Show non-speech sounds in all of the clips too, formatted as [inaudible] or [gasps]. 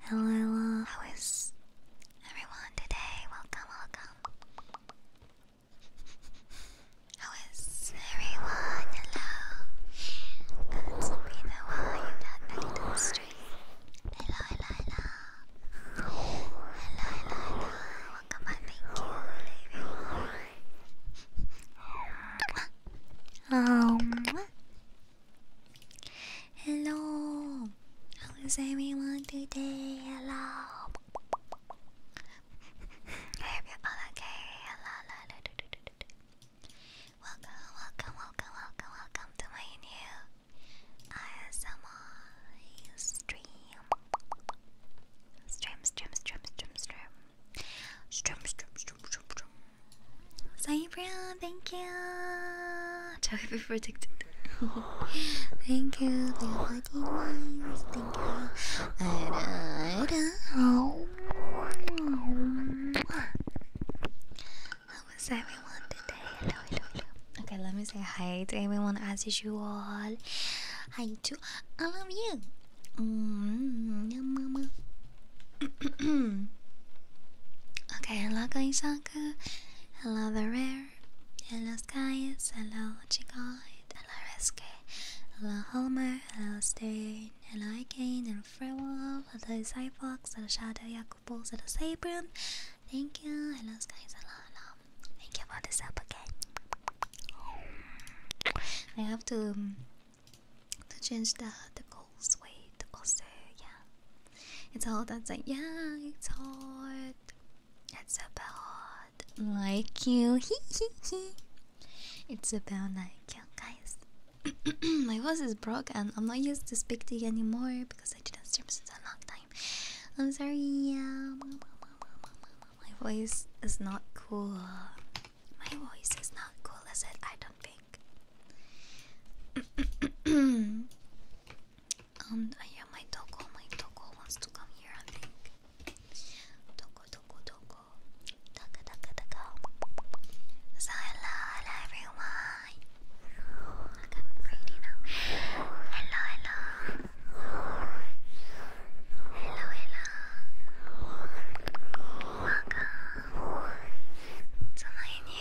Hello, hello, how is everyone today? Welcome, welcome. How is everyone? Hello. It's been a while that I did stream. Hello, hello, hello. Hello, Welcome back, thank Um. Hello. How is everyone today? Hello. I hope you're all okay. Hello, Welcome, welcome, welcome, welcome, welcome to my new ASMR stream, stream, stream, stream. Stream, stream, stream, stream, stream. Cybro, thank you. Chocobo protected. [laughs] thank you, the fucking lines. Thank you. I don't know. How was everyone today? Hello, hello, hello. Okay, let me say hi to everyone as usual. Hi to all of you. Mm -hmm. [clears throat] okay, hello guys, hello the rare, hello skies, hello Chikoid, hello Reske, hello Homer, hello Stern, hello Icane, hello Frewolf, hello Cyfox, hello Shadow Yakupos, hello Sabron, thank you, hello skies, hello, hello, thank you for this up again. I have to um, to change the the goals also yeah it's all that's like yeah it's hard it's about like you [laughs] it's about like you guys [clears throat] my voice is broke and i'm not used to speak to you anymore because i didn't stream since a long time i'm sorry yeah my voice is not cool my voice is not cool is it i don't pink. [clears throat] um, yeah, my Toko, my Toko wants to come here, I think. Toko, Toko, Toko. Taka, Taka, Taka. So, hello, everyone. Hello, hello. Hello, hello. Welcome to my new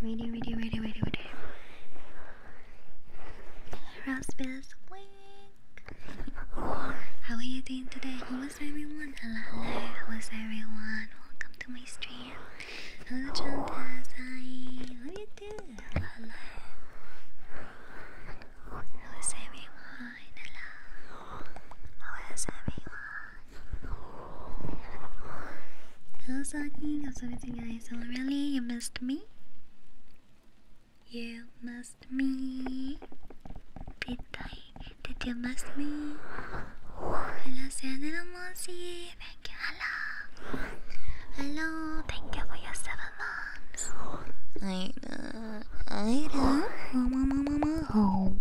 Ready, ready, ready, ready, ready. Raspberries, wink. How are you doing today? How is everyone? Hello, hello. How is everyone? Welcome to my stream. Hello, Chantas. How are you doing? hello. How is everyone? Hello. How is everyone? How's Agni? How's everything guys? Hello really? You missed me? You missed me? Did I? Did you miss me? Hello Sandra Mossy, thank you, hello! Hello, thank you for your seven months. I know, I know.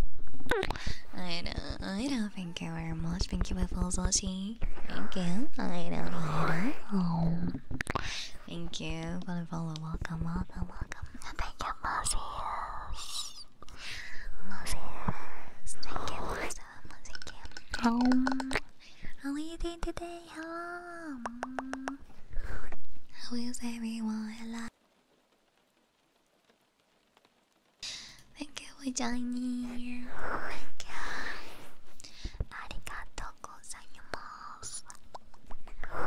I know, I know, Thank you very much. Thank you, Biffle Zoshi. Thank you. I don't Thank you for the Welcome, welcome, Thank you, Moses. Moses. Thank you, Moses. Thank you. How are you doing today? Hello. How is everyone? Thank you for Thank you. Arigato gozaimasu.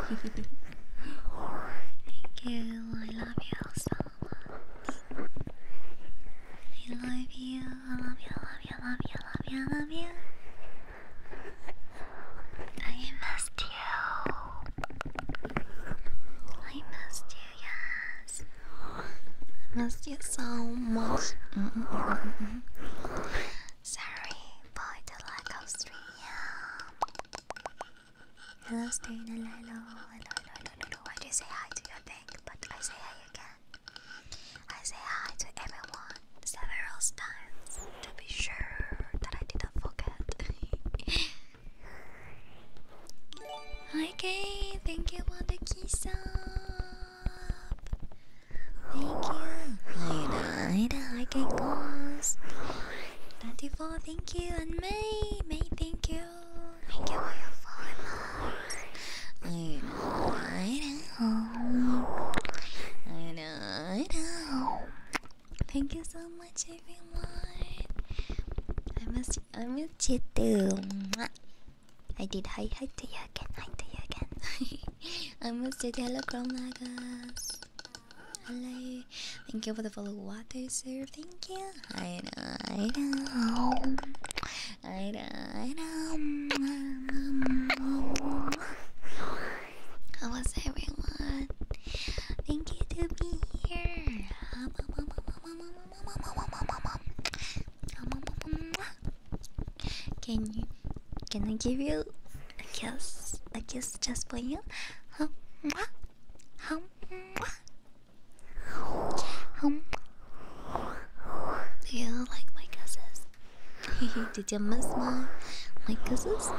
Thank you. I love you so I love you. I love you. I love you. I love you. I love you. I missed you. I missed you yes. I missed you so much. Mm -mm -mm. Sorry, boy, the lack of stream. Hello, stream. Hello, hello, hello, hello, hello. I just say hi to your bank, but I say hi again. I say hi to everyone several times to be sure that I didn't forget. [laughs] Okay, thank you for the kiss up. Thank you. Ida, Ida, I can close. 24, thank you. And May, May, thank you. Thank you for your follow. Ida, Ida. Ida, Ida. Thank you so much, everyone. I miss, I miss you too. I did hi hi to you again, hi to you again. [laughs] I must say hello Chromagas. Hello. Thank you for the follow water, sir. Thank you. I know, I know. I know, I know. How was everyone? Thank you to be here. Can you? Can I give you a kiss? A kiss just for you? Huh? Huh? Hum. Do you like my kisses? [laughs] Did you miss my my kisses?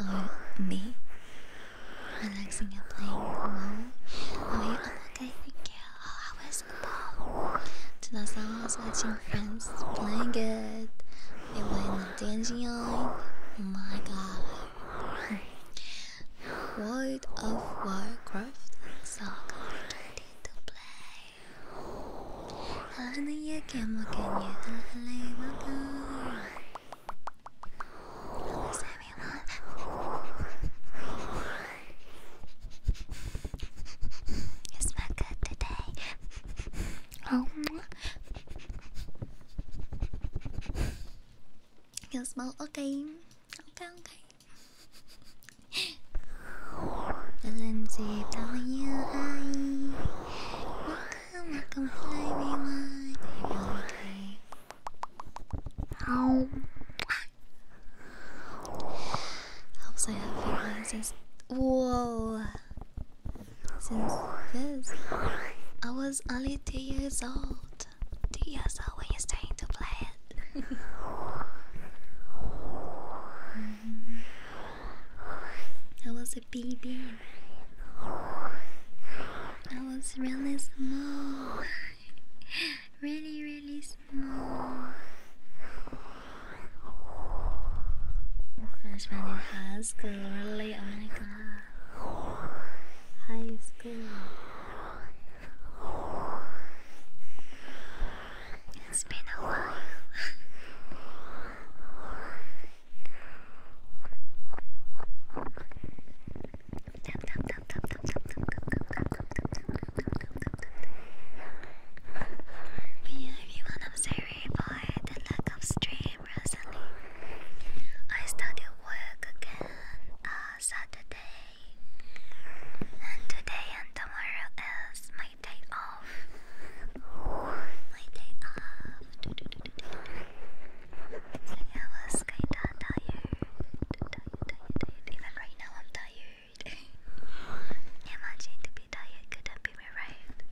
Or me? Relaxing and playing Oh, okay, thank you. Oh, I to the song I was friends playing it. They were in the dancing line. My God. World of Warcraft so complicated to play. Hallelujah, game look at you. Hallelujah. Hello, everyone. You smell good today. Oh. You smell okay. Okay, okay. Lindsay, W I. Welcome, welcome, hello everyone. How are you Helps I have finances. Whoa! Since this, I was only two years old. Two years old when you starting to play it. [laughs] I was a baby. I was really small. [laughs] really, really small. Oh gosh, my new high school, Oh my god. High school. It's been a while. [laughs] tap, tap, Review everyone I'm sorry for the lack stream recently. I started work again uh, Saturday and today and tomorrow is my day off. My day off. I was kinda tired. tired, Even right now I'm tired. Imagine to be tired couldn't be revived.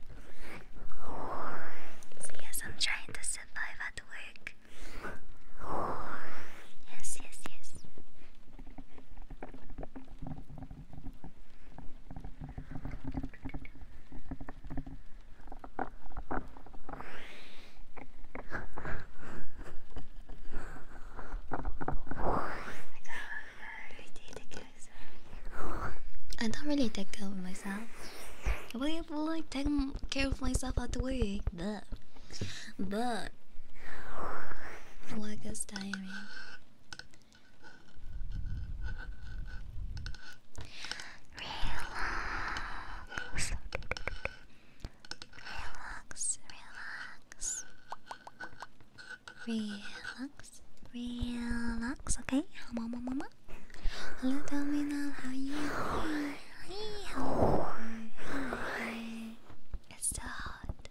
So yes, I'm trying to survive at work. Yes, yes, yes. I don't really take care of myself. What well, if like take care of myself at work? But, but work is tiring. Relax, relax, relax. Relax, relax, okay? Mama, mama. Hello, Domino, how are you? Hi, It's so hot.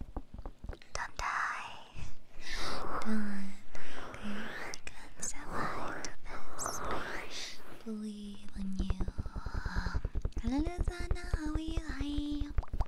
Don't die. Don't. Okay, I can survive this. Believe in you. Um, hello, Lizana, how are you? Hi.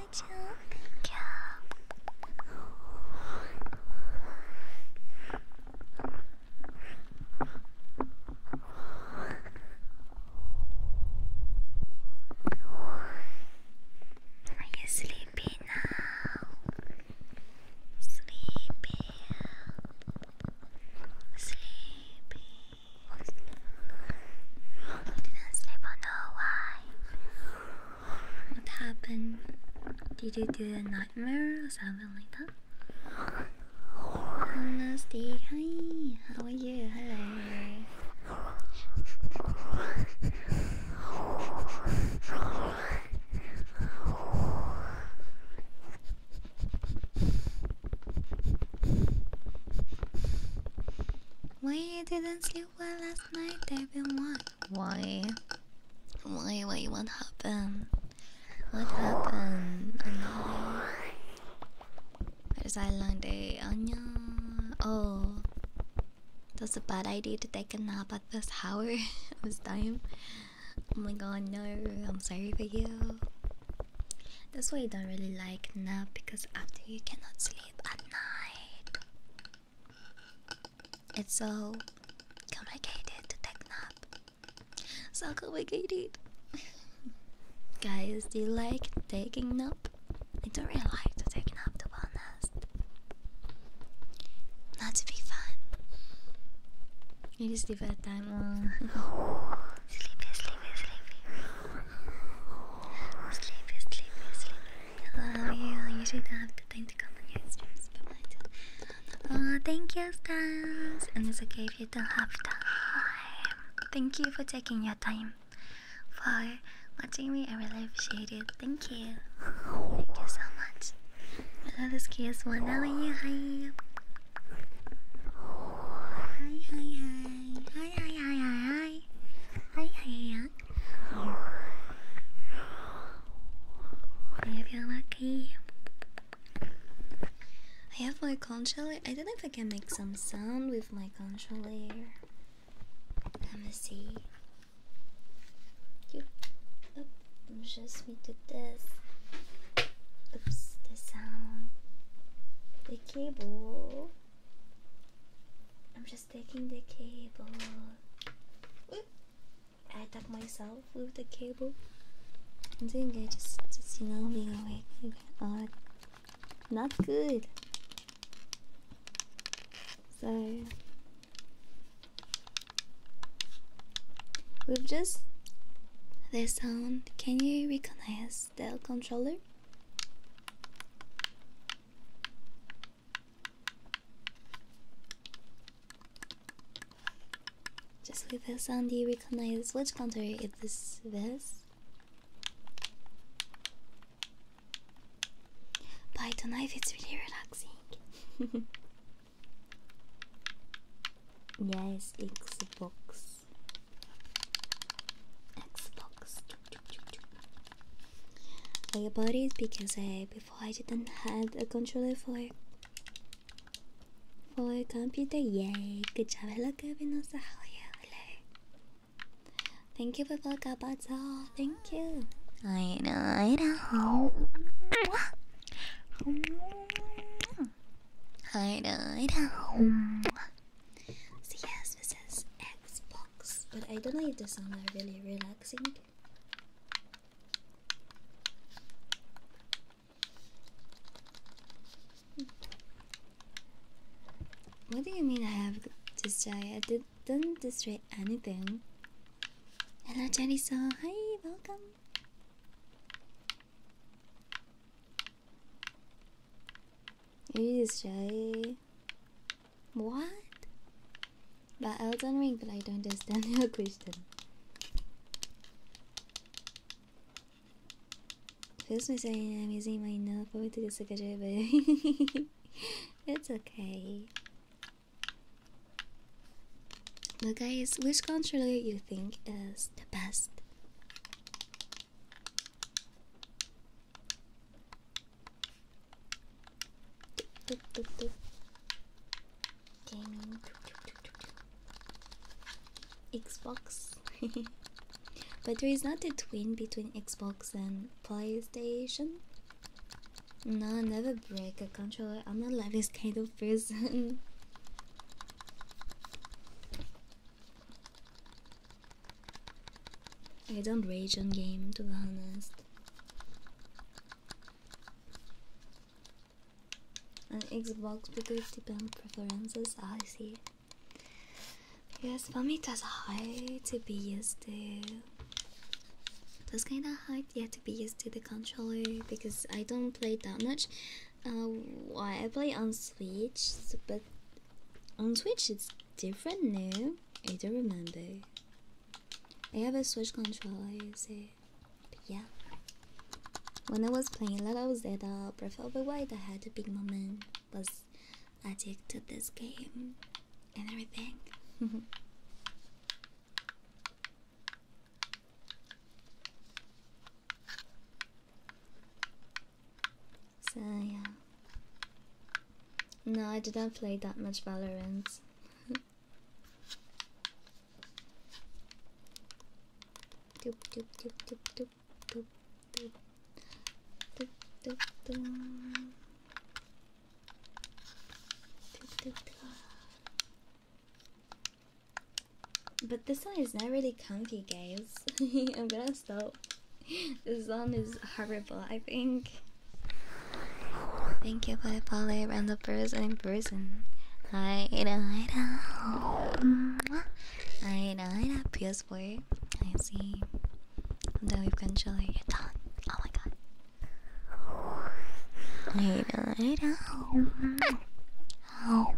much. Oh, thank Are you sleepy now? Sleepy. Sleepy. You didn't sleep on the what happened? Did you do a nightmare or something like that? Honesty, hi, how are you? Hello. Why you didn't sleep well last night, David. What? Why? Why? Why? What happened? What happened? I just There's Island Day. Oh, that's a bad idea to take a nap at this hour, this [laughs] time. Oh my god, no. I'm sorry for you. That's why I don't really like nap because after you cannot sleep at night. It's so complicated to take nap. So complicated. [laughs] Guys, do you like taking nap? I don't really like to take nap to be honest. Not to be fun. It is the bad time. Uh, [laughs] sleepy, sleepy, sleepy. Sleepy, sleepy, sleepy. Uh, yeah, usually don't have the time to come on your streams, Oh, thank you, Stans. And it's okay if you don't have time. Thank you for taking your time for watching me. I really appreciate it. Thank you. Thank you so much. Oh, this cute one. How are you? hi, hi. Hi, hi, hi, hi, hi. Hi, hi, hi. If you're lucky. I have my controller. I don't know if I can make some sound with my controller. Let me see. You, oh, just me do this. Oops, the sound. The cable. I'm just taking the cable. I attack myself with the cable. and then I just, just you know, being awake. Okay. Uh, not good. So, we've just the sound. Can you recognize the controller? Just with the sound, you recognize which country it is this? By the knife, it's really relaxing. [laughs] yes, Xbox. Xbox I bought it because I before I didn't have a controller for for a computer. Yay! Good job. Hello, Kevin. Also, how are you? Hello. Thank you for Volkabazo. Thank you. I know. I know. I know. I know. So yes, this is Expo but I don't know if the sounds is really relaxing. Hmm. What do you mean I have this try? I did, not destroy anything. Hello, Cherry So, Hi, welcome. You destroy what? But I Elden Ring, but I don't understand [laughs] your question. Excuse me saying I'm using my nail for to secretary, but [laughs] it's okay. But guys, which controller you think is the best? Gaming Xbox. but there is not a twin between Xbox and PlayStation. No, never break a controller. I'm not like this kind of person. [laughs] I don't rage on game to be honest. On Xbox because depend preferences, I see. Yes, for me it was hard to be used to it was kinda hard yeah to be used to the controller because I don't play that much. Uh, I play on Switch, but on Switch it's different name. I don't remember. I have a Switch controller, you see. yeah. When I was playing Let Out Zeta, Breath of the Wild, I had a big moment. Was addicted to this game and everything. [laughs] so yeah. No, I didn't play that much Valorant. But this one is not really comfy, guys. [laughs] I'm gonna stop this [laughs] song is horrible, I think. Thank you for the follow and the person in person. I know, I know. I know, PS4. I see. The wave controller, you're done. Oh my god. I know, I know. Oh,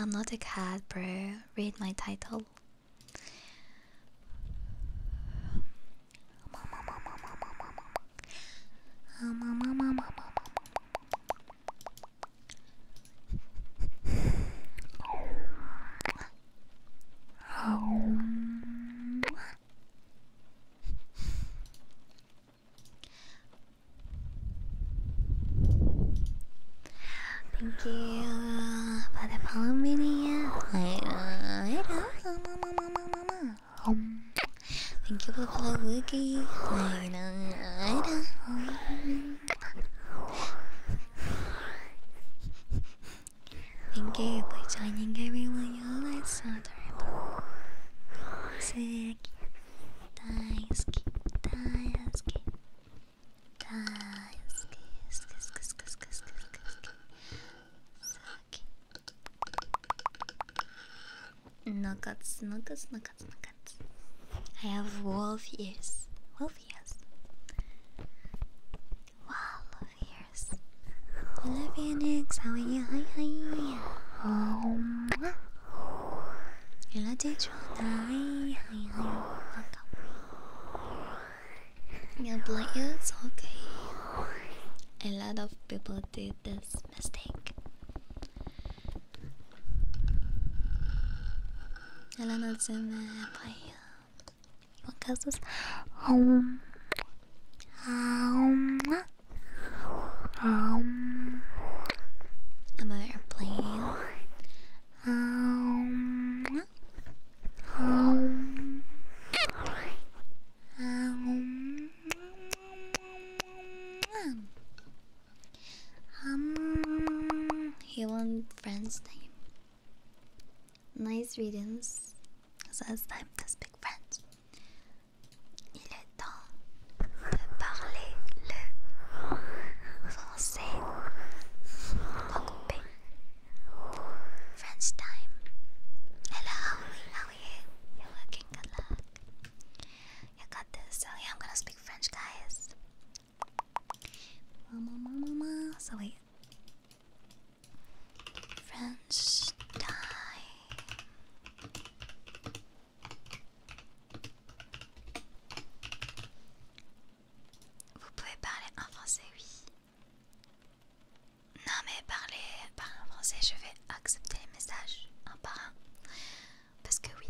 I'm not a cat, bro. Read my title. Uh, Thank you for the follow video. Thank you for the follow wiki. Uh, uh, Thank you for joining everyone. You like Saturn. Sick. Daisuke. Daisuke. Nuggets, nuggets, nuggets, nuggets. I have wolf ears. Wolf ears. Wow, love ears. Hello, Phoenix. How are you? Hi, hi. Um, Hello, Daytrona. Hi. You're welcome. Yeah, but okay. A lot of people did this mistake. Helena Zimmer, by what causes um um um I'm an airplane um, um, um, um, he won friend's name. Nice readings. Says time to speak French. Il est temps de parler le say Lokope. French time. Hello, how are you? You're looking good You got this. So I'm gonna speak French, guys. So wait. French time. Vous pouvez parler en français, oui. Non mais parler, en français, je vais accepter les messages un par un. Parce que oui.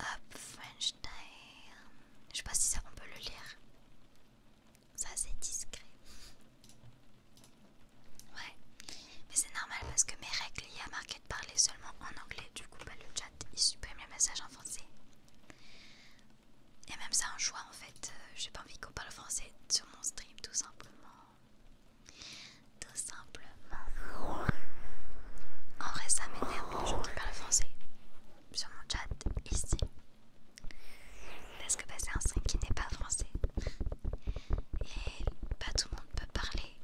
Up French Time. Je sais pas si ça on peut le lire. Ça c'est discret. Ouais. Mais c'est normal parce que mes règles y a marqué de parler seulement en anglais, du coup, bah, le chat il supprime les messages en français. Et même ça en choix en fait, euh, j'ai pas envie qu'on parle français sur mon stream, tout simplement. Tout simplement. En vrai, ça m'énerve les français sur mon chat ici. Parce que bah, c'est un stream qui n'est pas français. Et pas tout le monde peut parler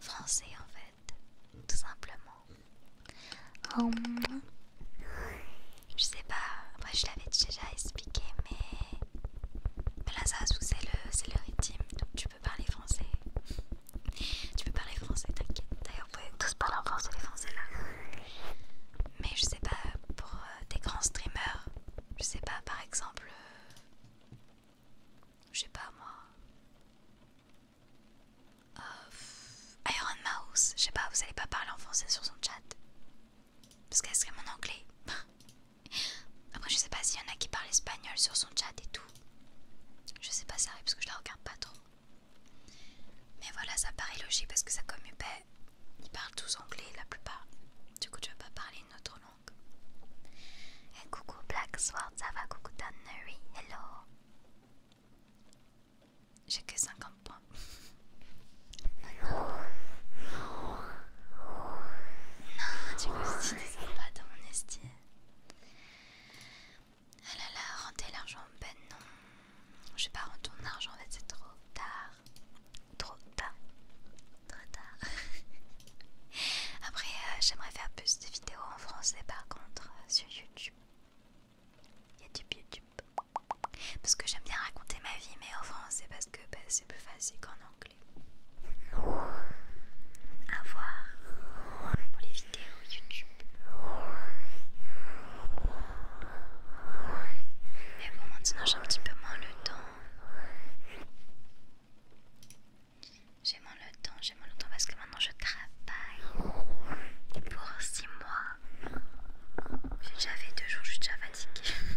français en fait, tout simplement. Hum. je sais pas, moi je l'avais déjà expliqué, mais, là ça c'est le, le rythme, donc tu peux parler français. tu peux parler français, t'inquiète. D'ailleurs, vous pouvez tous parler en français, les français là. Mais je sais pas, pour euh, des grands streamers, je sais pas, par exemple, euh, je sais pas moi. Euh, Iron Mouse, je sais pas, vous allez pas parler en français sur son chat. Parce qu'elle serait mon anglais. [laughs] Après, je sais pas s'il y en a qui parlent espagnol sur son chat et tout. Je sais pas ça arrive parce que je la regarde pas trop. Mais voilà, ça paraît logique parce que ça comme ils parlent tous anglais la plupart. Du coup, tu vas pas parler une autre et coucou Black Sword, ça va, coucou Tannery, hello. J'ai que 50 points. oh non. Non, du coup, pas dans mon estime. Ah là l'argent, ben non. Je vais pas rendre ton argent, en fait, c'est trop tard. Trop tard trop tard. [laughs] Après, euh, j'aimerais faire plus de vidéos en français par contre euh, sur YouTube. YouTube, YouTube. Parce que j'aime bien raconter ma vie, mais en français parce que bah, c'est plus facile qu'en anglais. À voir pour les vidéos YouTube. Mais bon, maintenant j'ai un petit peu moins le temps. J'ai moins le temps, j'ai moins le temps parce que maintenant je travaille pour 6 mois. J'ai déjà fait 2 jours, je suis déjà fatiguée. [laughs]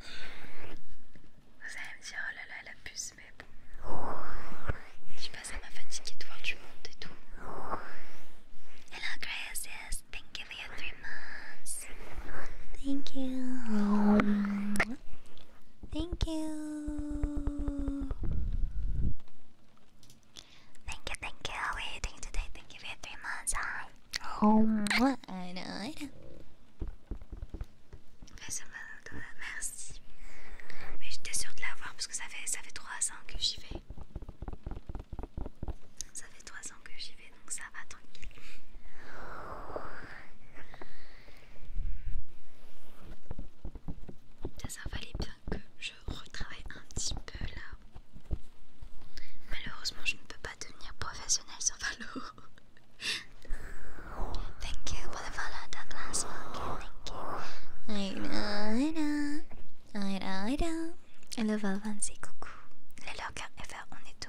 Vous allez me dire, oh là là, la puce, mais bon. Je passe à ma fatigue de voir du monde et tout. Hello, Gracias, thank you for your three months. Thank you. Thank you. Thank you, thank you. How are you today? Thank you for your three months. Hi. Oh, I know, I know. Merci. Mais j'étais sûre de l'avoir parce que ça fait, ça fait 3 ans que j'y vais. Ça fait 3 ans que j'y vais donc ça va tranquille. Ça, valait bien que je retravaille un petit peu là. Malheureusement, je ne peux pas devenir professionnelle sur Valo. [laughs] Thank you for the follow that last one. Thank you. Aïda, aïda, aïda, aïda. Hello Valvancy, coucou. Les lurkers FR, on est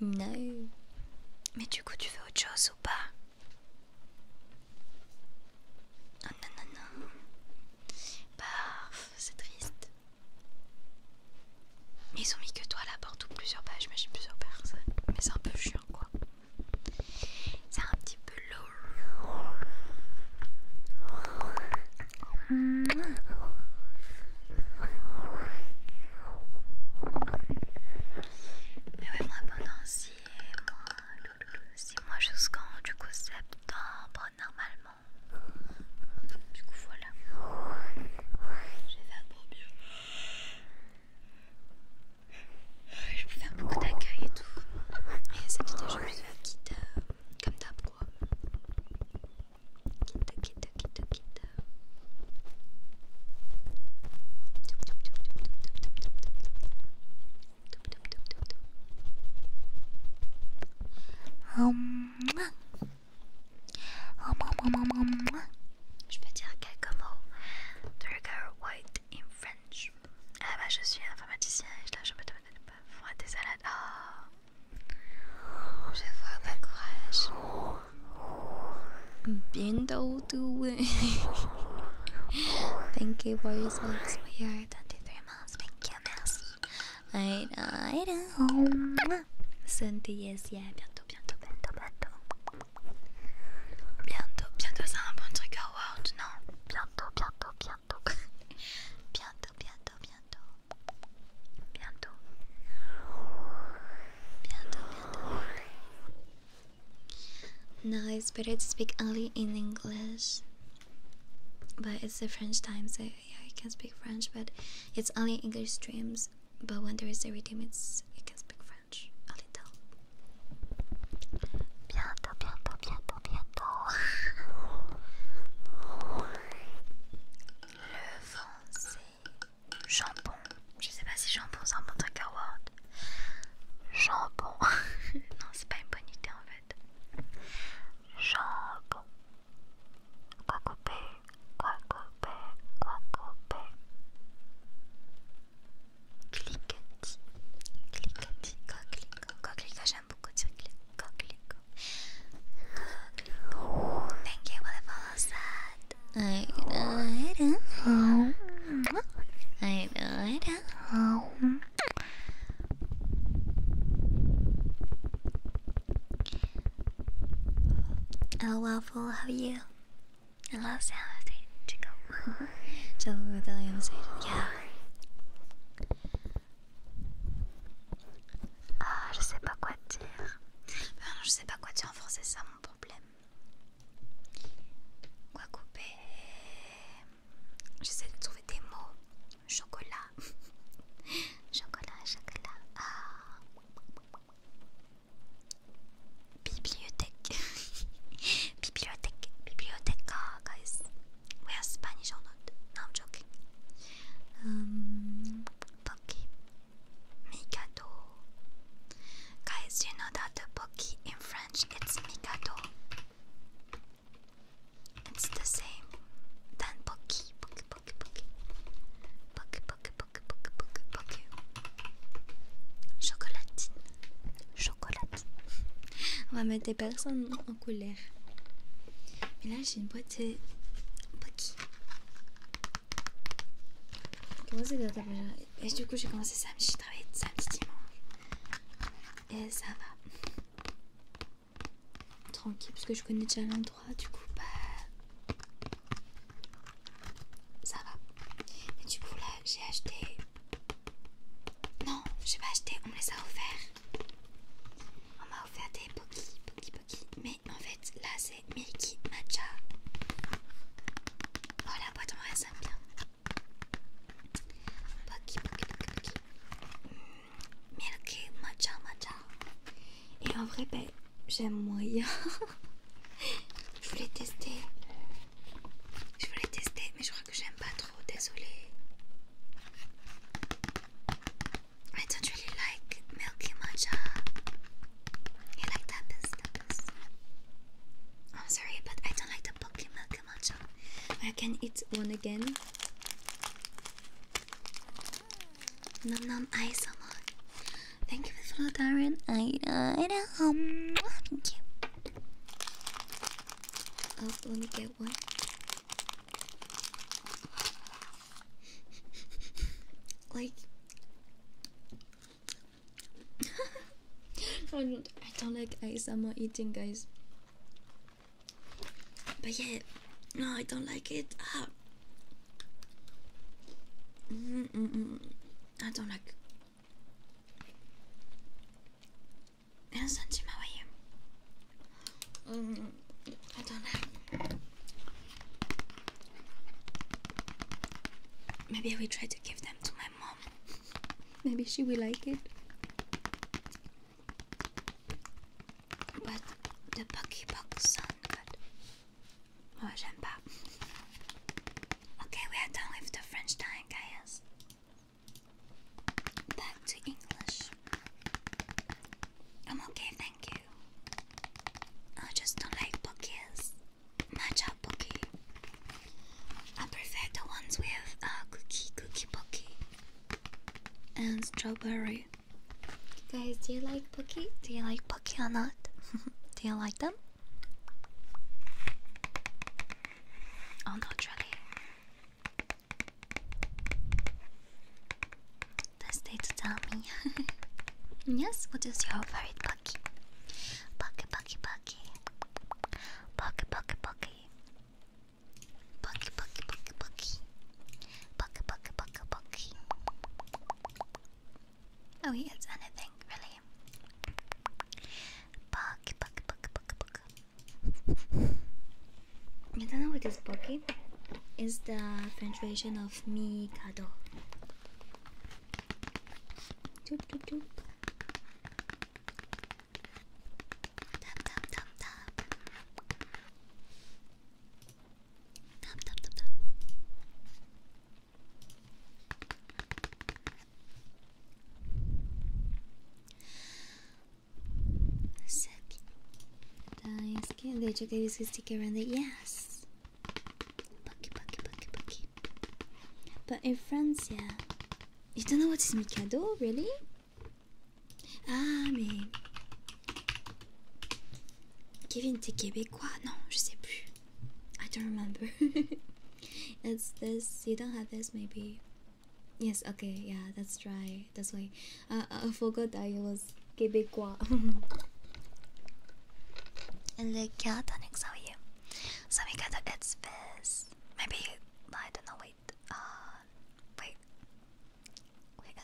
Non Mais du coup, tu fais autre chose ou pas ah, Non non, non, non. Bah, c'est triste. Ils ont mis que toi là, la ou plusieurs pages, Mais j'ai plusieurs personnes. Mais c'est un peu chiant quoi. C'est un petit peu lourd. Mais ouais, moi pendant 6 mois jusqu'en du coup septembre normalement. Du coup voilà. J'ai fait un beau bien. Je peux faire beaucoup d'accueil et tout. Et cette vidéo, je vais la petite euh, comme quoi je vais dire quelques mots Trigger white in French. Ah bah je suis informaticien et là je me donne pas des salades. 这发太可爱了，嗯，别人都都问。Thank you for your songs. We are twenty-three months. Thank you, merci. I I don't. Sunday yes, yeah. Bientôt, bientôt, bientôt, bientôt. Bientôt, bientôt, c'est un bon truc à World, non? Bientôt, bientôt, bientôt. bientôt, bientôt, bientôt bientôt, bientôt, bientôt. Now it's speak only in English, but it's the French time, so yeah, I can speak French, but it's only English streams. But when there is a redeem, it's you can speak French a little. Bientôt, bientôt, bientôt, bientôt. Jambon. Je sais pas si jambon c'est un bon truc à Word. Jambon. [laughs] non, c'est pas une bonne idée en fait. Jambon. Cocopé, cocopé, cocopé. Cliquetis. Cliquetis, coquelico. Coquelico, j'aime beaucoup dire coquelico. Thank you for the follow set. I know it. Huh? I know it. Huh? Oh, Waffle, how are you? I love sound of to go. Tell me about the Yeah. Ah, je sais pas quoi dire. non, ben, je sais pas quoi dire en français, c'est ça mon problème. Quoi couper J'essaie de trouver des mots. Chocolat. [laughs] chocolat, chocolat. Ah. Bibliothèque. [laughs] bibliothèque. Bibliothèque, ah, guys. We are Spanish or not? No, I'm joking. Hum, poki. Mikado. Guys, you know that in French it's Mikado? It's the same than Poki, Poki, Poki, Poki. Poki, Poki, Poki, Poki, Chocolatine. On va mettre des personnes en couleur. Mais là, j'ai une et du coup, j'ai commencé samedi, j'ai travaillé samedi, dimanche. Et ça va. Tranquille, parce que je connais déjà l'endroit, du coup, bah. Ça va. Et du coup, là, j'ai acheté. Non, j'ai pas acheté, on me les a offerts. On m'a offert des Poki, Poki, Mais en fait là c'est Milky Matcha. Oh la boîte en vrai ça bien. Mm, Milky Matcha Matcha. Et en vrai ben j'aime moyen. [laughs] je voulais tester. Je voulais tester mais je crois que j'aime pas trop, désolée. I don't really like milky matcha. You like tapas, tapas. I'm sorry, but I don't like the pocky milky matcha. I can eat one again. Nom nom ice on. Thank you for the Darren. I uh, I know. Thank you. Oh, let me get one like [laughs] I don't like ice. I am not eating guys but yeah no I don't like it ah. I don't like Sanji, how are you? Um, I don't know. Maybe we will try to give them to my mom. Maybe she will like it. But the Bucky oh, Okay, we are done with the French time, guys. Back to English. I'm okay, thank you. I just don't like bouquets, matcha bouquet. I prefer the ones with uh, cookie, cookie pokie, and strawberry. Guys, do you like pokie? Do you like pokie or not? [laughs] do you like them? Oh, not really. Let's stay to tell me. [laughs] yes, what is your favorite Pocky? Pocky, Pocky, Pocky. Pocky, Pocky, Pocky. Pocky, Pocky, Pocky, Pocky. Pocky, Pocky, Pocky, Pocky. Oh, he eats anything, really. Pocky, Pocky, Pocky, Pocky, Pocky. I don't know what is Pocky is the translation of Mikado. Doop, doop, doop. Tap, tap, tap, tap. Tap, tap, tap, tap. Sick. Daisuke, did you get this sticker around it? Yes. But in France, yeah. You don't know what is Mikado, really? Ah, mais. Kevin, t'es québécois? Non, je sais I don't remember. it's [laughs] this. You don't have this, maybe. Yes, okay, yeah, that's right. That's why. Uh, I forgot that it was Québécois. Le Catanix, how are you? So we got the it's fizz. Maybe I don't know. Wait. Uh, wait. Wait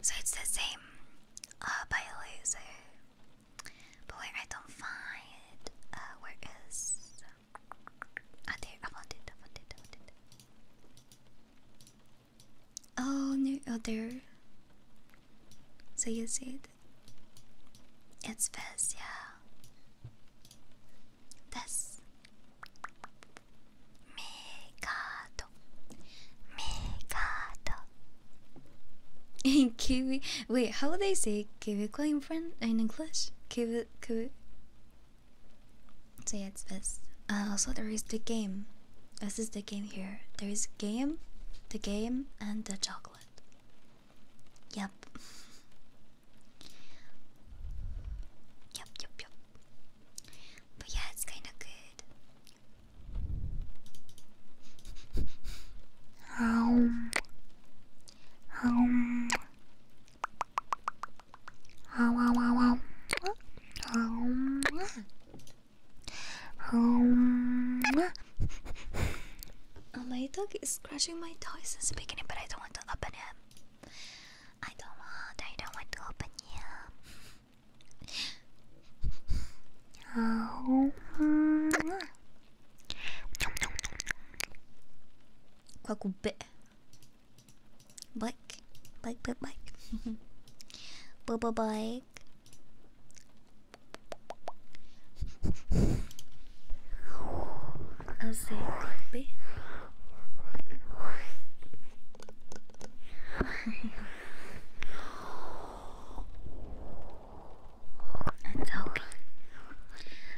So it's the same. Uh, by laser. But where I don't find. Uh, where is? Ah, oh, there. I found Oh no, oh there. So you see it. It's best, yeah. That's Mikado. Mikado. In Kiwi. Wait, how would they say Quebecois in French? In English? Quebec. So it's best. Uh, also, there is the game. This is the game here. There is game, the game, and the chocolate. Yup. Yep, yep, But yeah, it's kind of good. Um. Um. Um. Um. Um, oh, my dog is scratching my toy since the beginning, but I don't want to open it. I don't want. I don't want to open it. Oh. Quack bit. Black, black, black, black. [laughs] Bye bye bye quick. I'll say okay.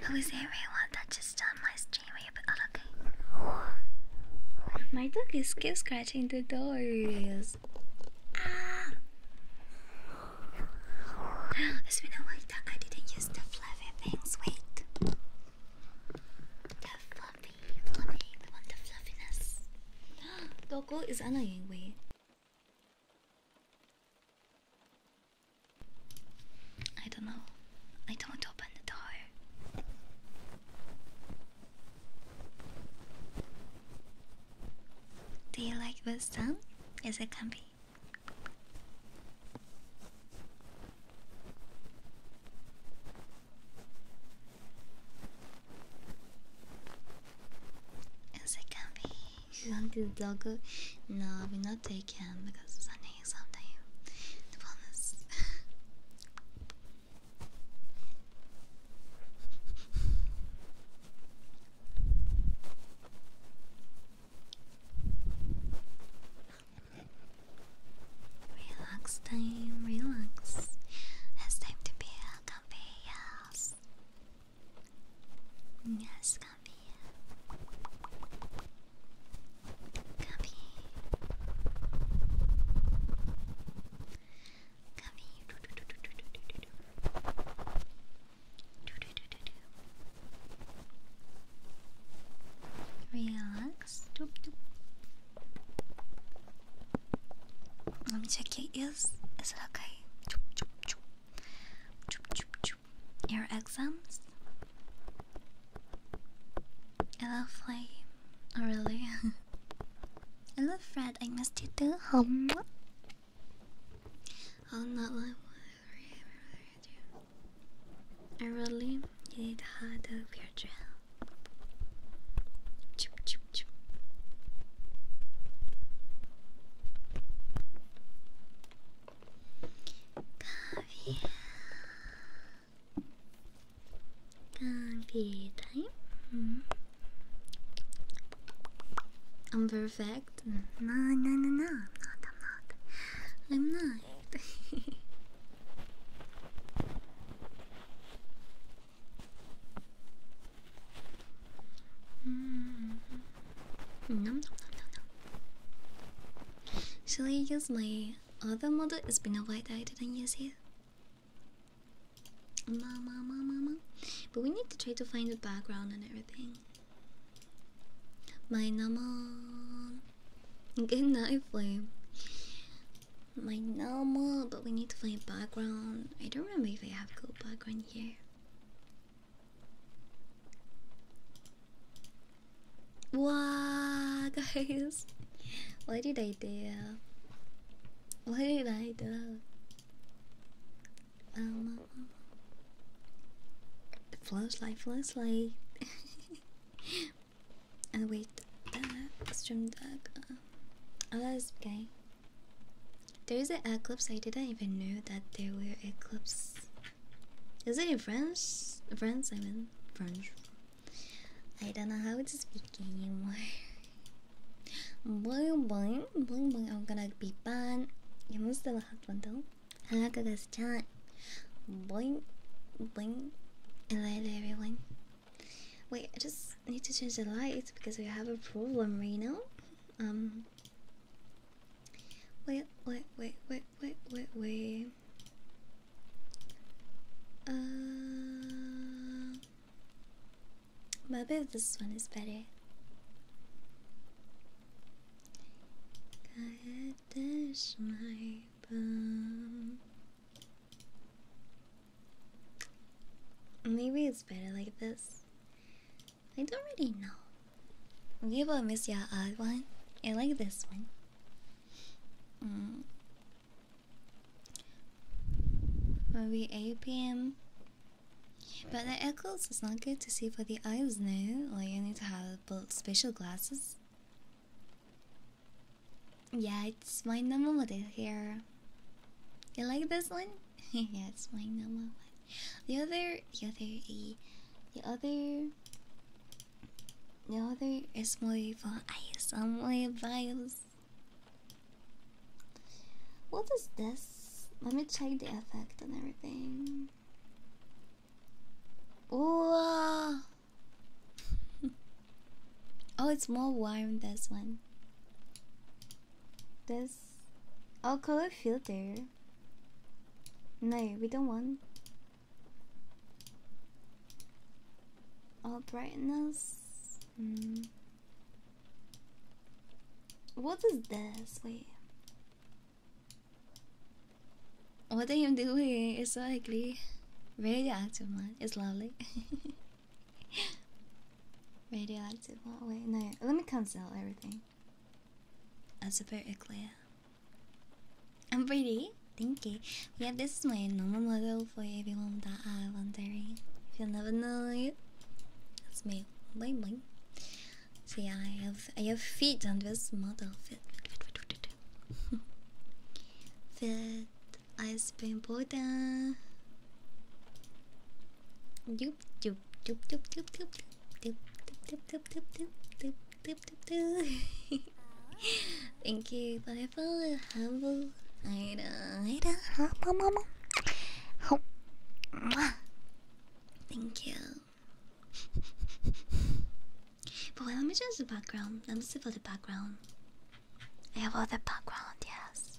Who is everyone that just done my stream? Are you all okay? My dog is keep scratching the doors. Ah. It's been I didn't use the fluffy things. Wait. The fluffy, fluffy, the one, the fluffiness. Gogo [gasps] is annoying. Wait. I don't know. I don't open the door. Do you like this song? Is it comfy? Is it comfy? You want to dog? No, we not taking because Sunday is something. The bonus. Relax time, relax. It's time to be comfy, yes. Yes, comfy. Comfy. Relax. Let me check your ears. Is it okay? Your exams? Lovely. Oh, really? [laughs] Hello, Fred. I miss you too. I'm not like I really need hard of your drill. Witaj. Mm. Mm-hmm. I'm perfect. No, no, no, no. Not, I'm not. I'm not. [laughs] mm. Mm-hmm. No, no, no, no, no. Should I use my other model? It's been a while that I didn't use it. Mama, mama, mama. But we need to try to find the background and everything. My naman. Good night, Flame. My normal, but we need to find background. I don't remember if I have good background here. Wow, [laughs] guys. What did I do? What did I do? Um, um, um, flashlight, flashlight. and [laughs] oh, wait, uh, stream deck. Uh, oh, that's okay. There is an eclipse. I didn't even know that there were eclipses. Is it in French? French, I mean French. I don't know how to speak anymore. [laughs] Boing boing boing boing. I'm gonna be banned. يمزل واحد بندل هلا guys chat. Boing boing. Hello everyone. Wait, I just need to change the lights because we have a problem right now. Um. Wait, wait, wait, wait, wait, wait, wait. Uh. Maybe this one is better. Maybe it's better like this. I don't really know. Okay, but miss your odd one. I like this one. Mm. Maybe 8 pm. But the echoes is not good to see for the eyes now. Like you need to have special glasses. Yeah, it's my number one here. You like this one? [laughs] yeah, it's my number one. The other, the other, the other, the other is more for eyes. I'm more biased. What is this? Let me check the effect and everything. Ooh. [laughs] oh, it's more warm this one. This oh color filter. No, we don't want all brightness. Mm. What is this? Wait. What are you doing? It's so ugly. Radioactive one. It's lovely. [laughs] Radioactive one. Oh, wait, no. Let me cancel everything. That's very clear. I'm pretty. Thank you. Yeah, this is my normal model for everyone that are wondering. If you never know it. That's me labeling. See, I have I have feet on this model. Fit, fit, fit, fit, fit. fit ice cream powder. Doop doop doop doop doop doop doop doop doop doop doop doop doop doop doop. Thank you, bye bye habu, ida, ida, hapa, mama. Oh, thank you. But let me change the background. Let me see for the background. I have all the background, yes.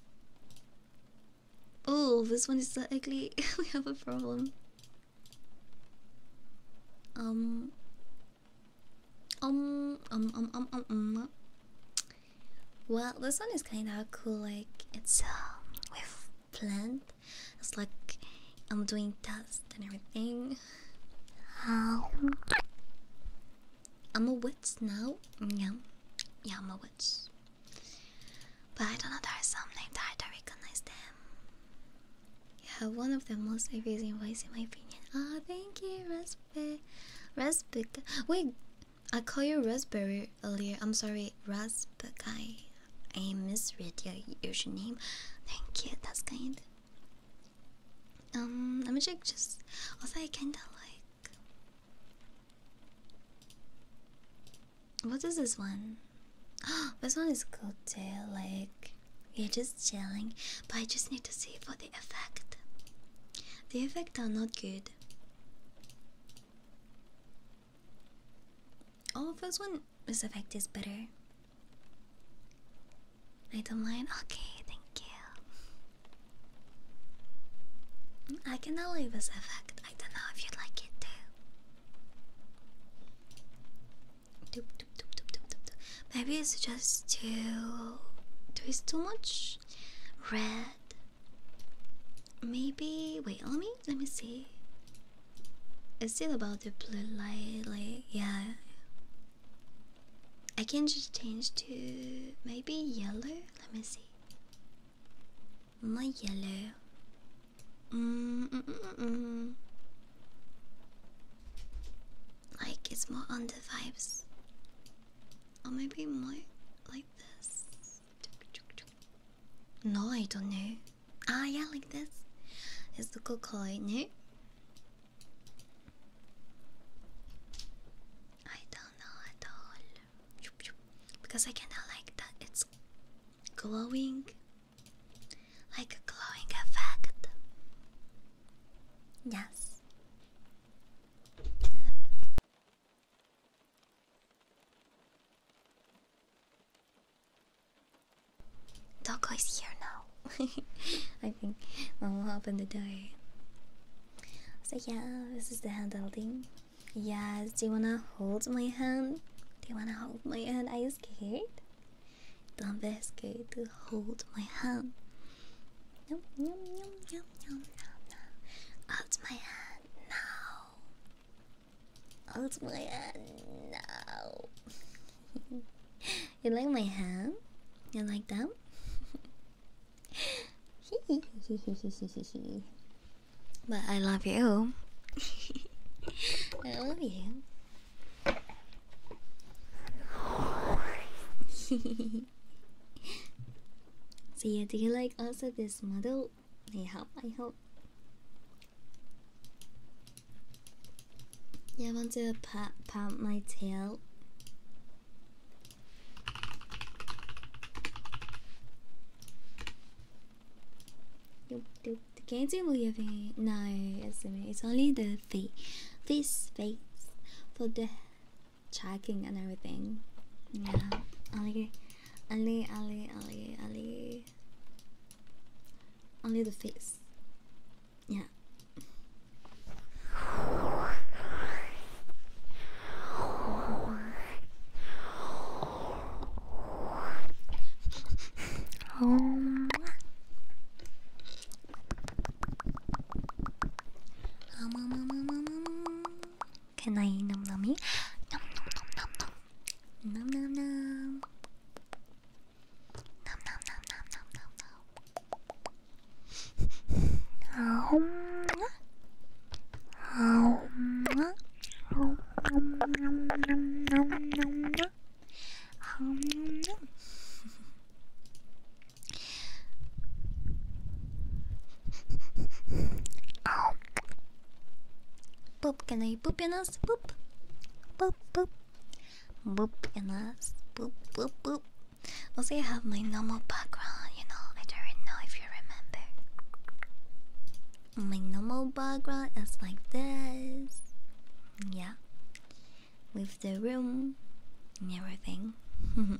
Oh, this one is so ugly. [laughs] we have a problem. Um. Um. Um. Um. Um. Um. um. Well, this one is kind of cool. Like it's um, uh, with plant. It's like I'm doing dust and everything. Um, I'm a witch now. Yeah, yeah, I'm a witch. But I don't know. There are some names that I don't recognize them. You have one of the most amazing voice in my opinion. Ah, thank you, Respect. Respect. Wait, I call you Raspberry earlier. I'm sorry, Raspberry. I misread your username. Thank you, that's kind. Um, let me check just. Also, I kinda like. What is this one? Oh, [gasps] this one is good too. Like, you're just chilling, but I just need to see for the effect. The effect are not good. Oh, first one, this effect is better. Item line, okay, thank you. I cannot leave this effect. I don't know if you'd like it too. Maybe it's just too. There is too much red Maybe wait. Let me let me see. It's still about the blue light. Like yeah. I can just change to maybe yellow. Let me see. More yellow. Mm, mm, mm, mm. mm. Like it's more on the vibes. Or maybe more like this. No, I don't know. Ah, yeah, like this. It's a the kokoi, no? I don't know at all. Because I kinda like that it's glowing. Like a glowing effect. Yes. Doggo is here now. [laughs] I think I'm mom will open the door. So yeah, this is the hand holding. Yes, do you wanna hold my hand? Do you wanna hold my hand? Are you scared? Don't be scared to hold my hand. Hold my hand no. Oh, my hand. No. [laughs] you like my hand? You like that? [laughs] but I love you. [laughs] I love you so yeah, do you like also this model? I hope, I hope. Yeah, I want to pat pat my tail. The can't do your face. No, it's only the face, face, face for the Checking and everything. Yeah, Ali, Ali, Ali, Ali, Ali. Only the face. Yeah. [laughs] Oh, can I num nummy? Num num num num num. Num num num. Num num num num num num num. Boop, can I boop in us? Boop. Boop, boop. Boop in us. Boop, boop, boop. Also, I have my normal background, you know. I don't know if you remember. My normal background is like this. Yeah. With the room and everything. [laughs]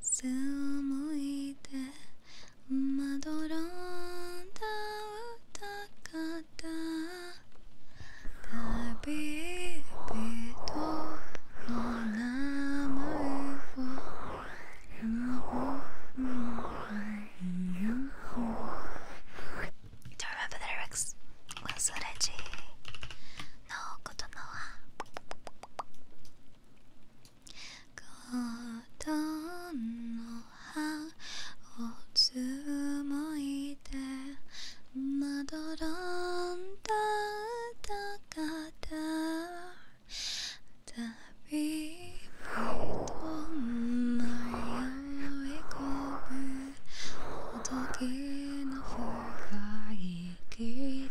つを向いてまどろんだ歌方旅人の名前を Do you とのコトンの葉をつむいてまどろんだ高旅人迷い込む時の深い霧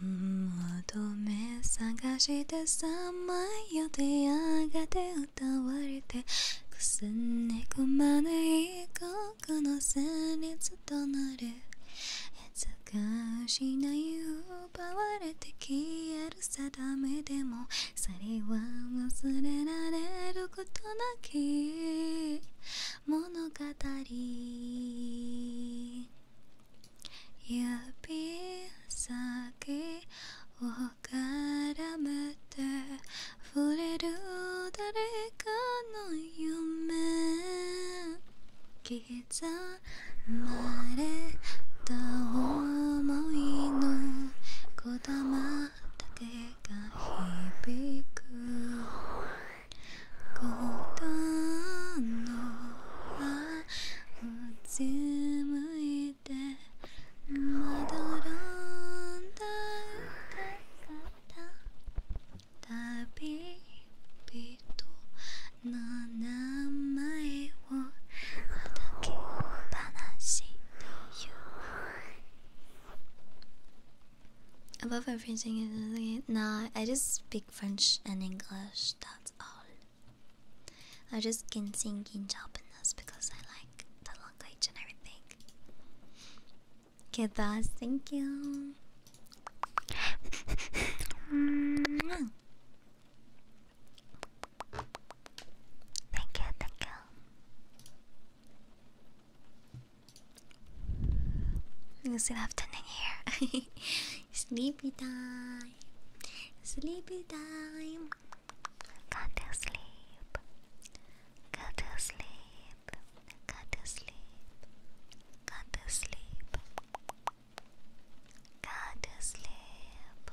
求め探してさまよてやがて歌われてくすねくまぬ異国の旋律となるいつか失いよ奪われて消える定めでも去りは忘れられることなき物語指先を絡めて触れる誰かの夢刻まれた思いのこだまたてが響くこ孤んのはうつむいてまどろんだた方旅人の名前を歩きっぱなしで Above everything is nah, I just speak French and English, that's all. I just can sing in Japanese because I like the language and everything. Get that, thank you. [laughs] Mm-hmm. Thank you, thank you. Good afternoon here. [laughs] Sleepy time. Sleepy time. Go to sleep. Go to sleep. Go to sleep. Go to sleep. Go to sleep.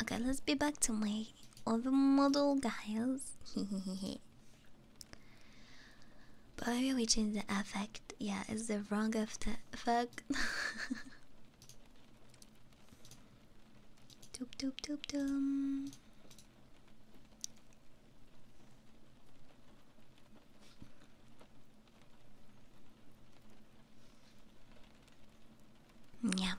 Okay, let's be back to my other model, guys. [laughs] but maybe we change the effect. Yeah, it's the wrong effect. [laughs] Doop doop doop doom. Yeah.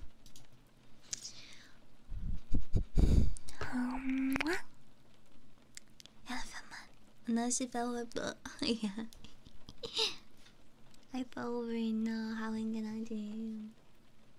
Um, no, she fell over. yeah. [laughs] I fell over in uh, Howling the Night.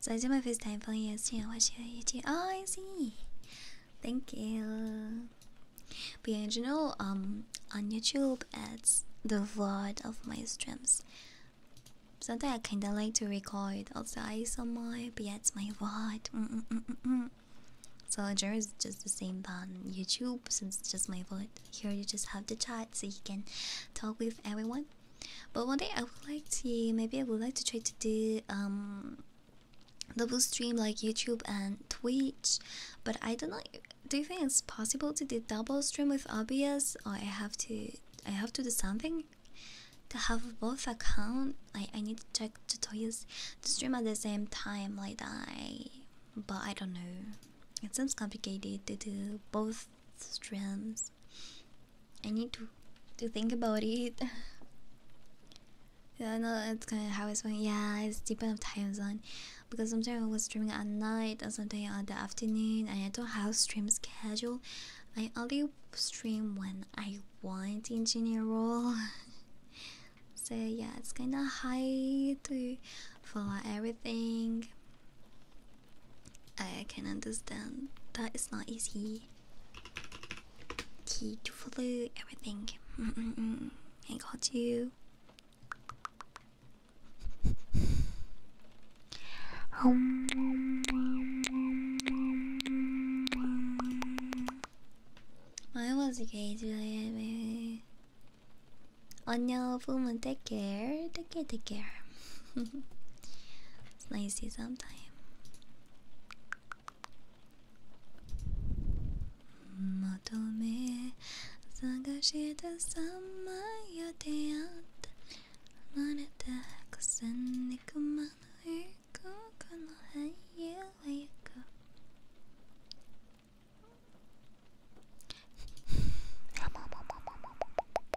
so this is my first time playing ESG. I watch your YouTube. Oh, I see. Thank you. But yeah, in general, um, on YouTube, it's the vlog of my streams. Sometimes I kinda like to record also ASMR, but yeah, it's my vlog. Mm, mm -mm -mm -mm. So there is just the same on YouTube, since it's just my vlog. Here you just have the chat, so you can talk with everyone. But one day I would like to maybe I would like to try to do um double stream like YouTube and Twitch. But I don't know. Do you think it's possible to do double stream with OBS, or I have to I have to do something to have both account? I I need to check tutorials to stream at the same time like I, But I don't know. It sounds complicated to do both streams. I need to to think about it. yeah, I know it's kind of how it's going. Yeah, it's depend on time zone, because sometimes I was streaming at night and sometimes on the afternoon, I don't have stream schedule. I only stream when I want in general. [laughs] so yeah, it's kind of hard to follow everything. I can understand that it's not easy key to follow everything. Mm -mm -mm. I got you. Um. I was okay today. 안녕, 부모 take care, take care, take care. [laughs] It's lazy sometimes. Matome Sagashita Sama Yoteat Manata Kusanikuma Erko Kanahaya Wayako. [laughs]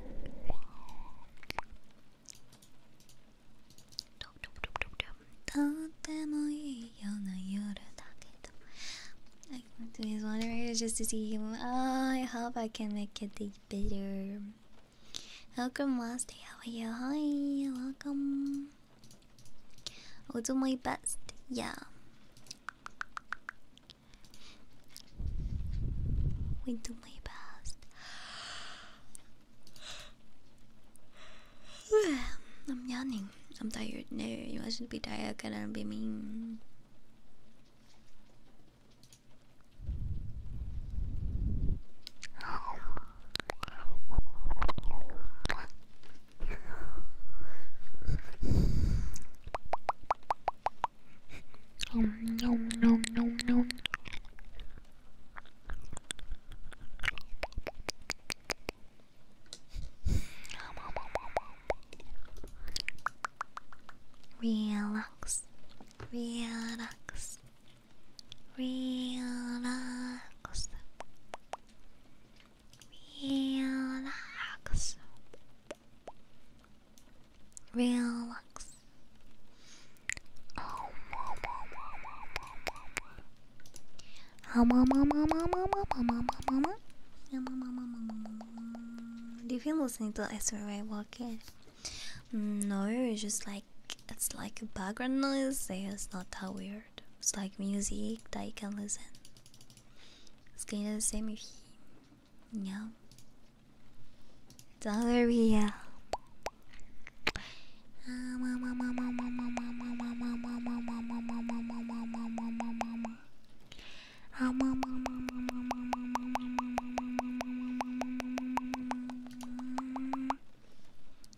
とてもいいような夜だけど I come to his just to see him. I hope I can make it better. Welcome, Master. How are you? Hi, welcome. I'll do my best. Yeah. We do my best. I'm yawning. I'm tired. No, you mustn't be tired. Can I be mean? Um, no, no, no, no. Relax, relax, relax, relax. Relax. Oh, do you feel listening to ASMR while walking? No, just like it's like a background noise. It's not that weird. It's like music that you can listen. It's kind of the same if Yep. Diarrhea.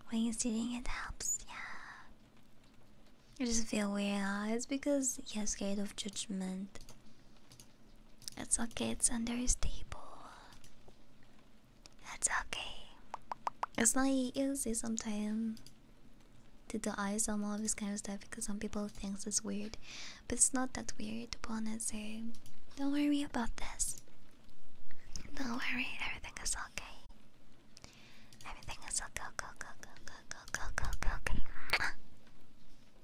When you're sitting, it helps. Yeah. I just feel weird. Huh? It's because you're scared of judgment. It's okay, it's under his table. That's okay. It's not easy sometimes to the eyes on all of this kind of stuff because some people think it's weird. But it's not that weird, to be honest. So don't worry about this. Don't worry, everything is okay. Everything is okay. Go, go, go, go, go, go, go, go, go.